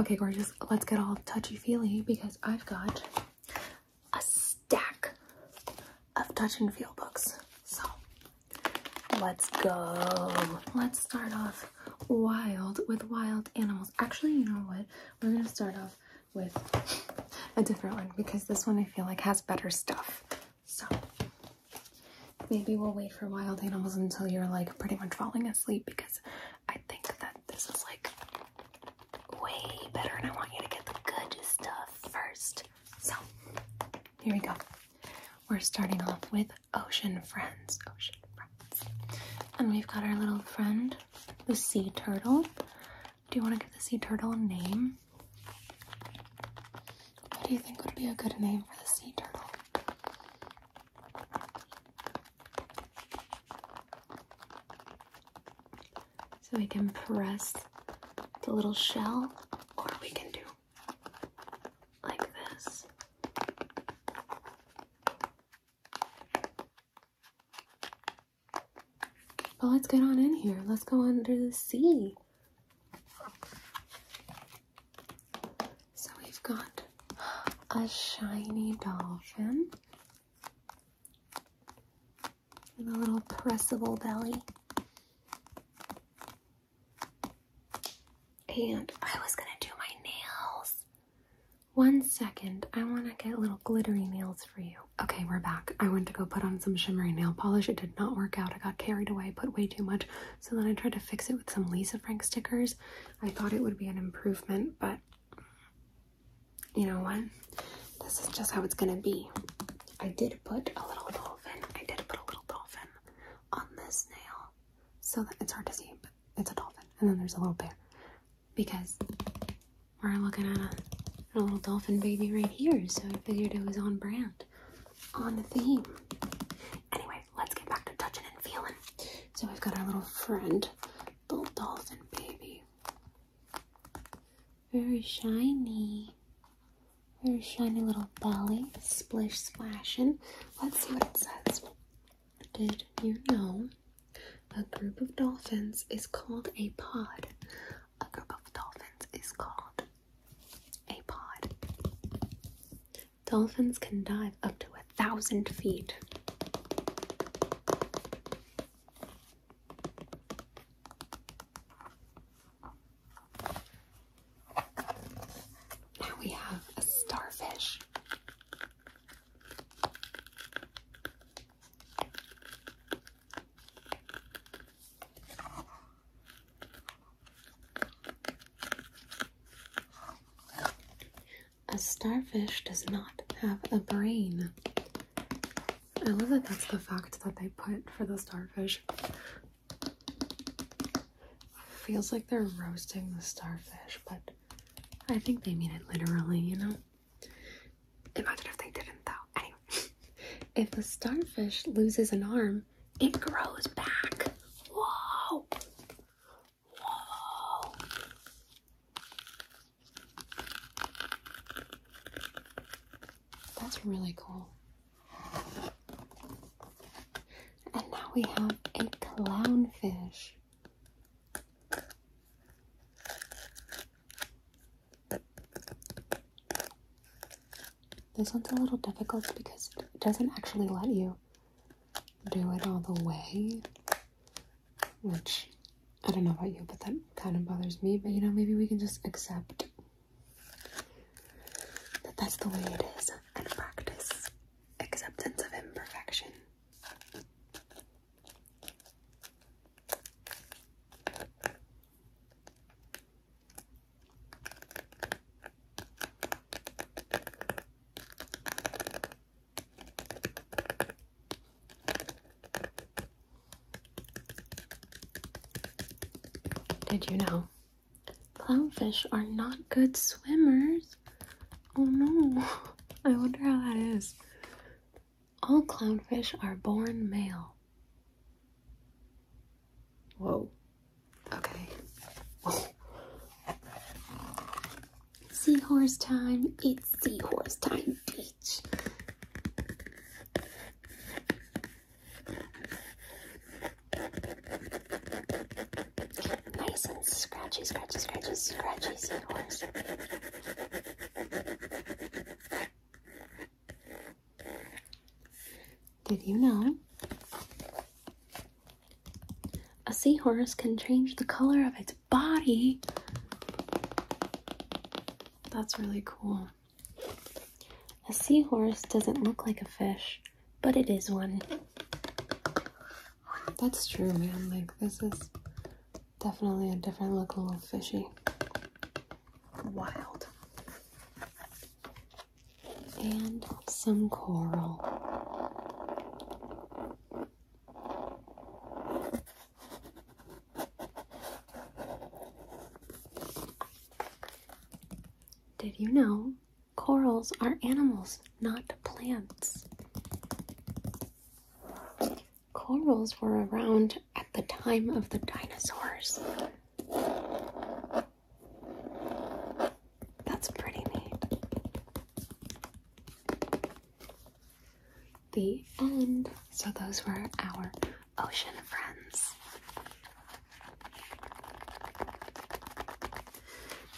Okay, gorgeous. Let's get all touchy-feely because I've got a stack of touch and feel books. So let's go. Let's start off wild with wild animals. Actually, you know what? We're gonna start off with a different one because this one I feel like has better stuff. So maybe we'll wait for wild animals until you're like pretty much falling asleep because I think that this is like way better, and I want you to get the good stuff first. So, here we go. We're starting off with Ocean Friends. Ocean Friends. And we've got our little friend, the sea turtle. Do you want to give the sea turtle a name? What do you think would be a good name for the sea turtle? So we can press the little shell, or we can do like this. But let's get on in here. Let's go under the sea. So we've got a shiny dolphin with a little pressable belly. And I was gonna do my nails. One second, I wanna get little glittery nails for you. Okay, we're back. I went to go put on some shimmery nail polish. It did not work out. I got carried away, put way too much. So then I tried to fix it with some Lisa Frank stickers I thought it would be an improvement, but you know what? This is just how it's gonna be. I did put a little dolphin. I did put a little dolphin on this nail, so that it's hard to see, but it's a dolphin. And then there's a little bear because we're looking at a, little dolphin baby right here. So I figured it was on brand, on the theme. Anyway, let's get back to touching and feeling. So we've got our little friend, little dolphin baby. Very shiny. Very shiny little belly. Splish splashing. Let's see what it says. Did you know a group of dolphins is called a pod? A group of dolphins is called a pod. Dolphins can dive up to a thousand feet. Now we have a starfish. A starfish does not have a brain. I love that that's the fact that they put for the starfish. Feels like they're roasting the starfish, but I think they mean it literally, you know? Imagine if they didn't, though. if a starfish loses an arm, it grows back. Whoa! Whoa. That's really cool. And now we have a clownfish. This one's a little difficult because it doesn't actually let you do it all the way, which I don't know about you, but that kind of bothers me. But you know, maybe we can just accept that that's the way it is and practice acceptance of imperfection. Did you know? Clownfish are not good swimmers. Oh no, I wonder how that is. All clownfish are born male. Whoa, Okay. Seahorse time. It's seahorse time, beach. Nice and scratchy, scratchy, scratchy, scratchy seahorse. Did you know a seahorse can change the color of its body. That's really cool. A seahorse doesn't look like a fish, but it is one. That's true, man. Like, this is definitely a different look, a little fishy. Wild and some coral. Did you know corals are animals, not plants? Corals were around at the time of the dinosaurs. That's pretty neat. The end. So those were our ocean friends.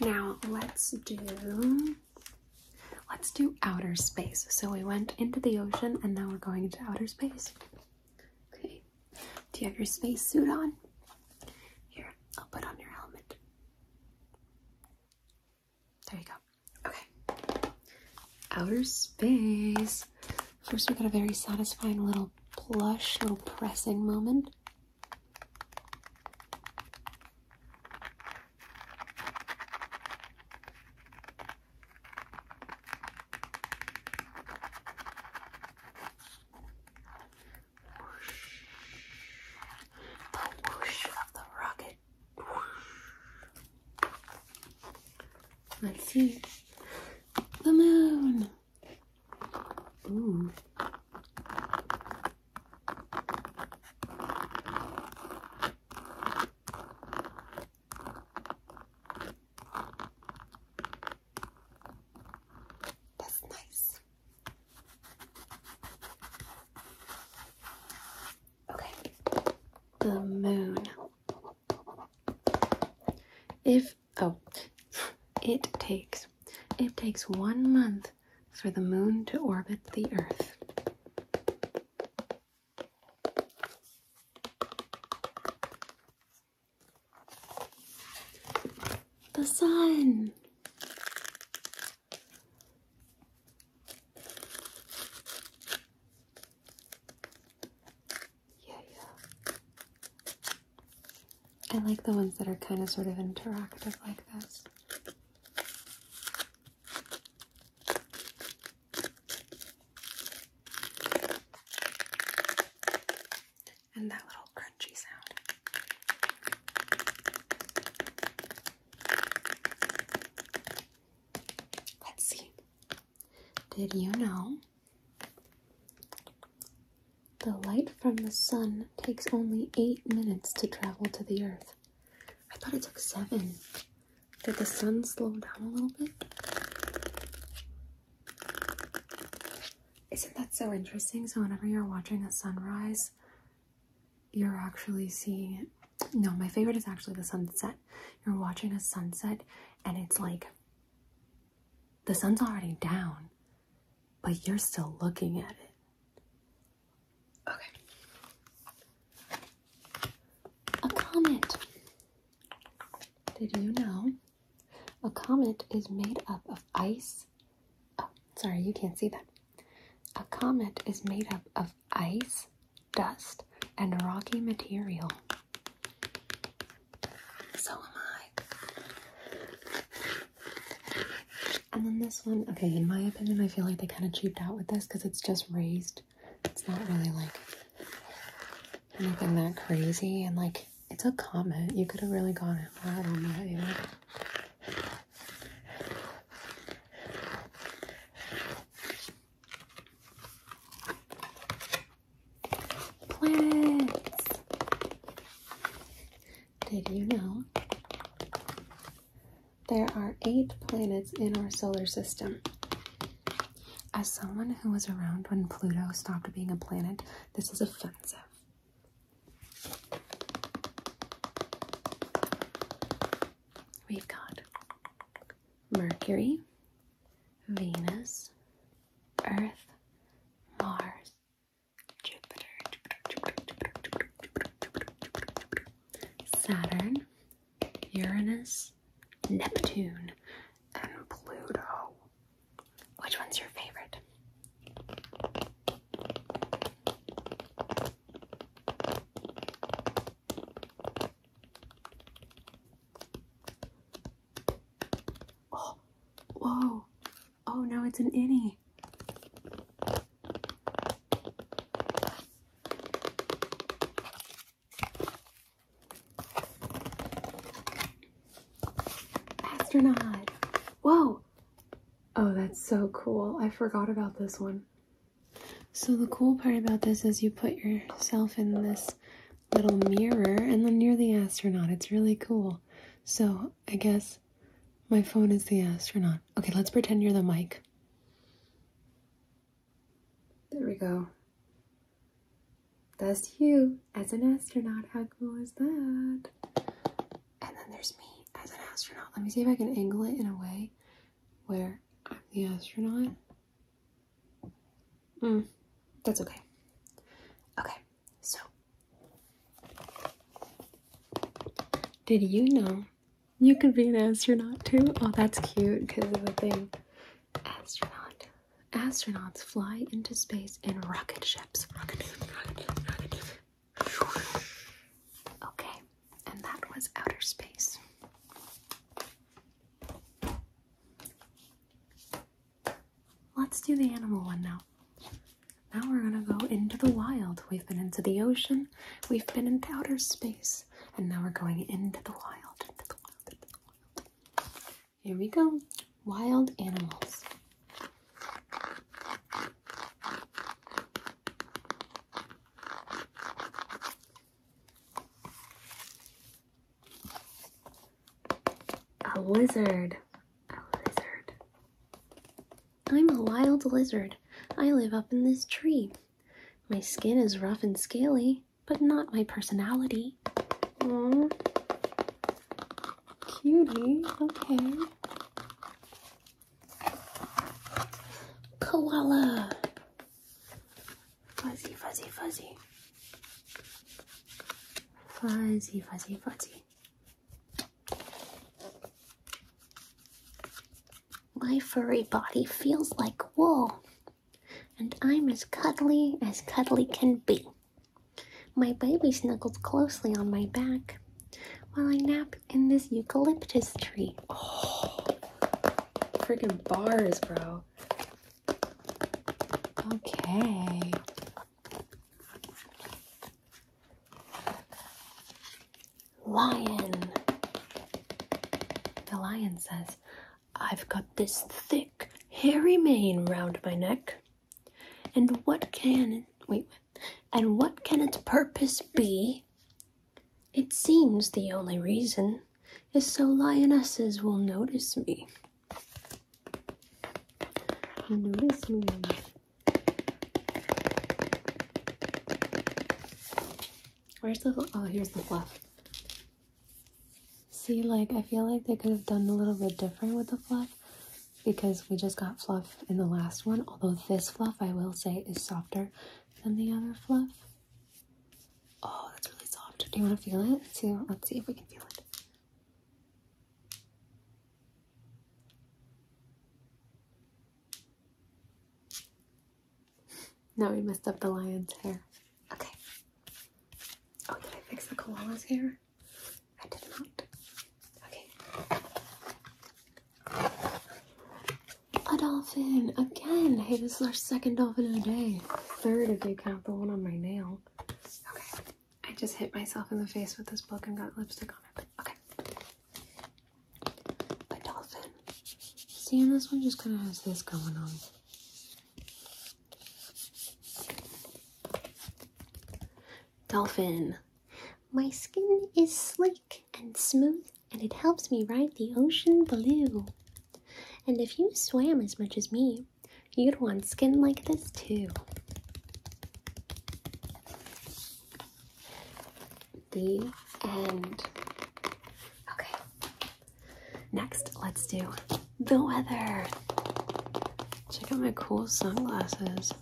Now let's do let's do outer space. So we went into the ocean and now we're going into outer space. Okay. Do you have your spacesuit on? Here, I'll put on your helmet. There you go. Okay. Outer space. First, we got a very satisfying little plush, little pressing moment the whoosh of the rocket. Let's see the moon. Ooh. That's nice. Okay, the moon. If, oh, it takes, it takes one month for the moon to orbit the earth. The sun. Yeah, yeah. I like the ones that are kind of sort of interactive like this and that little crunchy sound. Let's see. Did you know the light from the sun takes only eight minutes to travel to the earth? I thought it took seven. Did the sun slow down a little bit? Isn't that so interesting? So, whenever you're watching a sunrise, you're actually seeing it. No, my favorite is actually the sunset. You're watching a sunset, and it's like the sun's already down, but you're still looking at it. Okay. A comment. Did you know a comet is made up of ice. Oh, sorry, you can't see that. A comet is made up of ice, dust, and rocky material. So am I. And then this one, okay, in my opinion, I feel like they kind of cheaped out with this because it's just raised. It's not really like anything that crazy and like it's a comment. You could have really gotten hard on that. You Did you know there are eight planets in our solar system? As someone who was around when Pluto stopped being a planet, this is offensive. We've got Mercury, Venus, Earth, Mars, Jupiter, Saturn, Uranus, Neptune, and Pluto. Which one's your favorite? Oh, whoa. Oh no, it's an innie. Astronaut. Whoa. Oh, that's so cool. I forgot about this one. So the cool part about this is you put yourself in this little mirror and then you're the astronaut. It's really cool. So I guess my phone is the astronaut. Okay, let's pretend you're the mic. There we go. That's you as an astronaut. How who is that? And then there's me as an astronaut. Let me see if I can angle it in a way where I'm the astronaut. Mm, that's okay. Okay, so did you know you could be an astronaut too? Oh, that's cute because of the thing. Astronaut. Astronauts fly into space space in rocket ships. Rocket, rocket, rocket. Okay, and that was outer space. Let's do the animal one now. Now we're gonna go into the wild. We've been into the ocean, we've been into outer space, and now we're going into the wild. Into the wild, into the wild. Here we go. Wild animals. A lizard. A lizard. I'm a wild lizard. I live up in this tree. My skin is rough and scaly, but not my personality. Aww. Cutie, okay. Koala. Fuzzy, fuzzy, fuzzy. Fuzzy, fuzzy, fuzzy. My furry body feels like wool, and I'm as cuddly as cuddly can be. My baby snuggles closely on my back while I nap in this eucalyptus tree. Oh, freaking bars, bro. Okay. Lion. The lion says, I've got this thick, hairy mane round my neck. And what can wait? And what can its purpose be? It seems the only reason is so lionesses will notice me. Notice me. Where's the oh here's the fluff. See like I feel like they could have done a little bit different with the fluff because we just got fluff in the last one, although this fluff, I will say, is softer than the other fluff. Oh, that's really soft. Do you want to feel it? too? let's see if we can feel it. Now we messed up the lion's hair. Okay. Oh, did I fix the koala's hair? I did not. Okay. A dolphin again. Hey, this is our second dolphin of the day. Third if you count the one on my nail. Okay. I just hit myself in the face with this book and got lipstick on it. Okay. A dolphin. See, and this one just kind of has this going on. Dolphin. My skin is sleek and smooth, and it helps me ride the ocean blue. And if you swam as much as me, you'd want skin like this too. The end. Okay. Next, let's do the weather. Check out my cool sunglasses.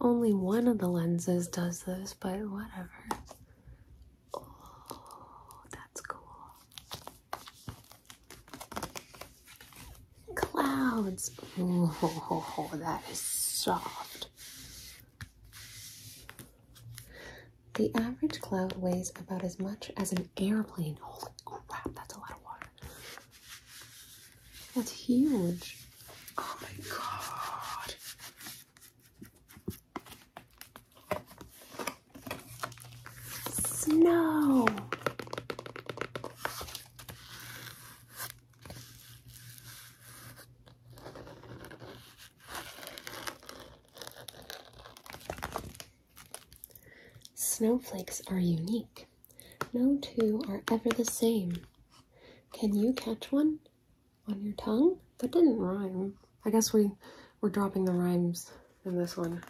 Only one of the lenses does this, but whatever. Oh, that's cool. Clouds. Oh, that is soft. The average cloud weighs about as much as an airplane. Holy crap, that's a lot of water. That's huge. Oh my god. Snow. Snowflakes are unique. No two are ever the same. Can you catch one on your tongue? That didn't rhyme. I guess we were dropping the rhymes in this one.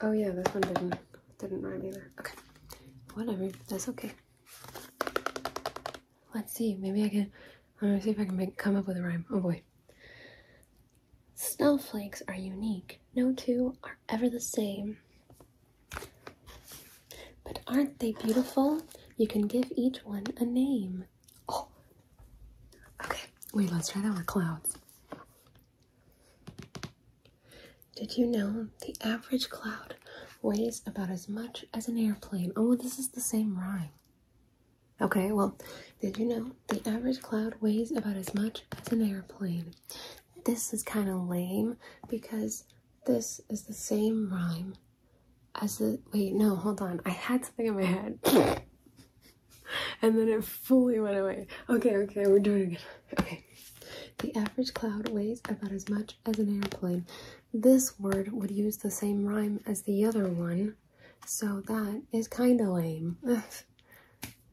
Oh yeah, this one didn't didn't rhyme either. Okay. Whatever. That's okay. Let's see. Maybe I can I'm see if I can come up with a rhyme. Oh boy. Snowflakes are unique. No two are ever the same. But aren't they beautiful? You can give each one a name. Oh, okay. Wait, let's try that with clouds. Did you know the average cloud weighs about as much as an airplane? Oh, this is the same rhyme. Okay, well, did you know the average cloud weighs about as much as an airplane? This is kind of lame because this is the same rhyme as the. Wait, no, hold on. I had something in my head. and then it fully went away. Okay, okay, we're doing it Okay. The average cloud weighs about as much as an airplane. This word would use the same rhyme as the other one, so that is kind of lame. that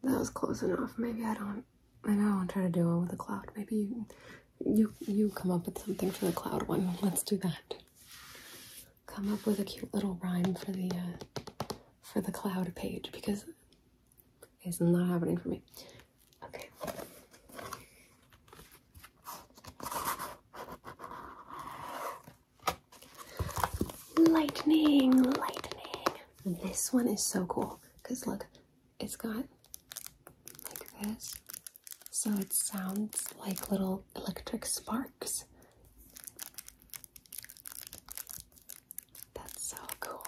was close enough. Maybe I don't I know. I'm trying to do one with the cloud. Maybe you, you, you come up with something for the cloud one. Let's do that. Come up with a cute little rhyme for the uh, for the cloud page because it's not happening for me. Okay. Lightning, lightning, this one is so cool because look, it's got like this, so it sounds like little electric sparks. That's so cool.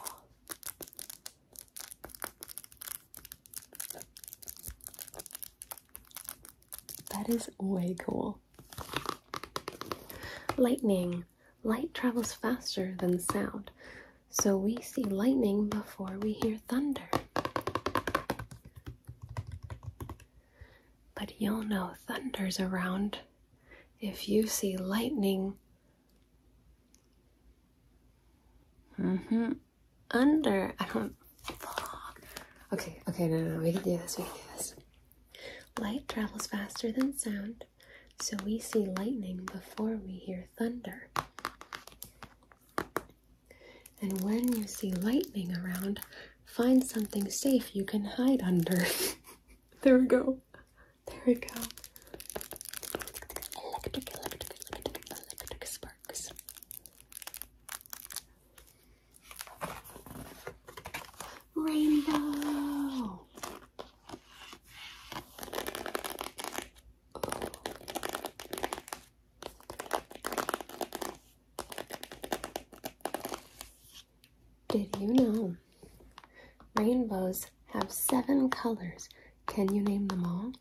That is way cool. Lightning light travels faster than sound, so we see lightning before we hear thunder. But you'll know thunder's around if you see lightning. Mm hmm. Under. I don't. Okay, okay, no, no. We can do this. We can do this. Light travels faster than sound, so we see lightning before we hear thunder. And when you see lightning around, find something safe you can hide under. there we go. There we go. sparks. Rainbow. Did you know rainbows have seven colors? Can you name them all?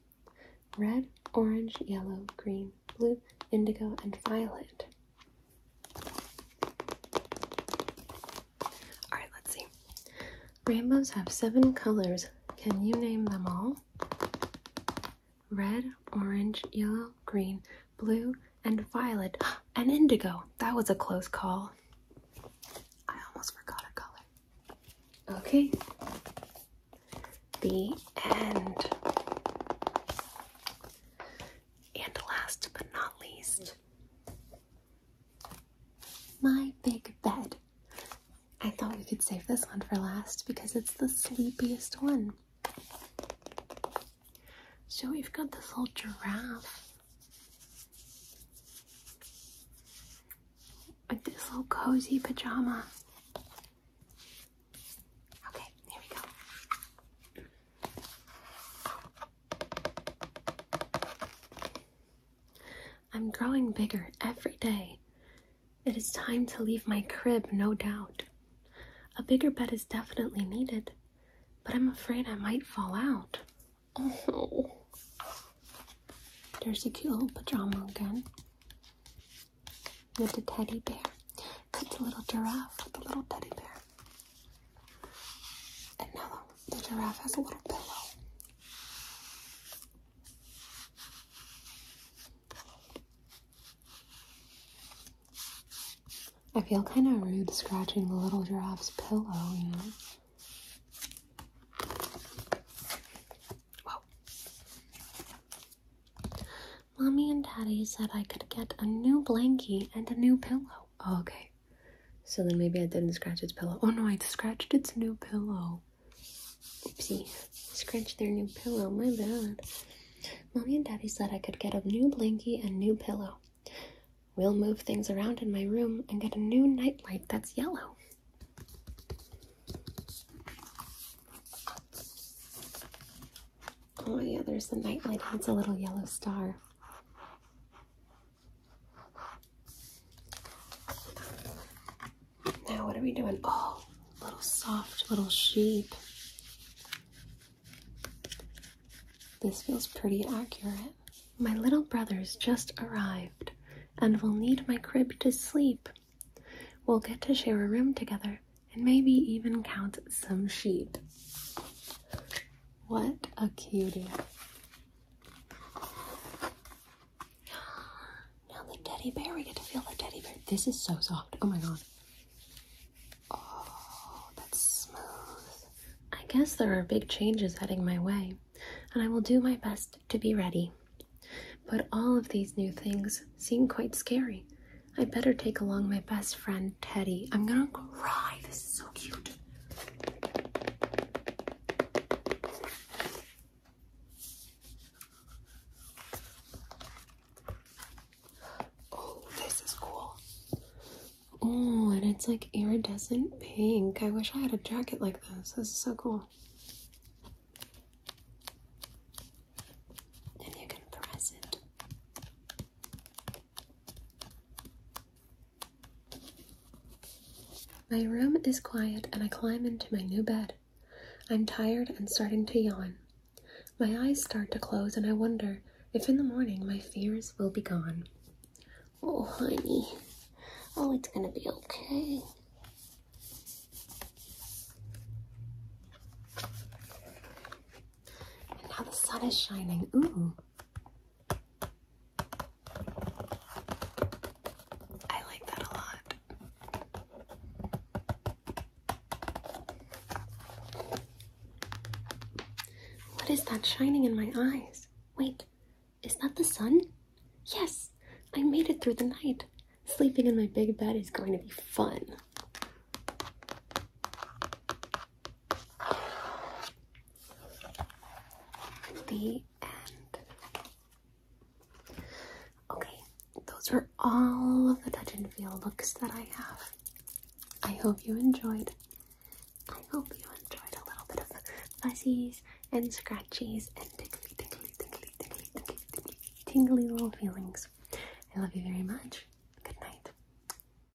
Red, orange, yellow, green, blue, indigo, and violet. Alright, let's see. Rainbows have seven colors. Can you name them all? Red, orange, yellow, green, blue, and violet. And indigo. That was a close call. I almost forgot a color. Okay. The end. And last but not least, my big bed. I thought we could save this one for last because it's the sleepiest one. So we've got this little giraffe with this little cozy pajama. Okay, here we go. I'm growing bigger every day. It is time to leave my crib, no doubt. A bigger bed is definitely needed, but I'm afraid I might fall out. Oh, there's a cute little pajama again with the teddy bear. Cut the little giraffe with the little teddy bear. And now the, giraffe has a little pillow. I feel kind of rude scratching the little giraffe's pillow, you know? Whoa. Mommy and Daddy said I could get a new blankie and a new pillow. Okay. So then maybe I didn't scratch its pillow. Oh no, I scratched its new pillow. Oopsie. Scratched their new pillow. My bad. Mommy and Daddy said I could get a new blankie and new pillow. We'll move things around in my room and get a new nightlight that's yellow. Oh yeah, there's the nightlight. It's a little yellow star. Now, what are we doing? Oh, little soft little sheep. This feels pretty accurate. My little brother's just arrived and will need my crib to sleep. We'll get to share a room together and maybe even count some sheep. What a cutie. Now the teddy bear, we get to feel the teddy bear. This is so soft. Oh my god. Oh, that's smooth. I guess there are big changes heading my way, and I will do my best to be ready. But all of these new things seem quite scary. I better take along my best friend, Teddy. I'm gonna cry. This is so cute. Oh, this is cool. Oh, and it's like iridescent pink. I wish I had a jacket like this. This is so cool. And you can press it. My room is quiet and I climb into my new bed. I'm tired and starting to yawn. My eyes start to close and I wonder if in the morning my fears will be gone. Oh, honey. Oh, it's gonna be okay. And now the sun is shining. Ooh, I like that a lot. What is that shining in my eyes? Wait, is that the sun? Yes, I made it through the night. Sleeping in my big bed is going to be fun the end. Okay, those are all of the touch and feel looks that I have. I hope you enjoyed. I hope you enjoyed a little bit of fuzzies and scratchies and tickly, tickly, tickly, tickly, tickly, tingly little feelings. I love you very much. Good night.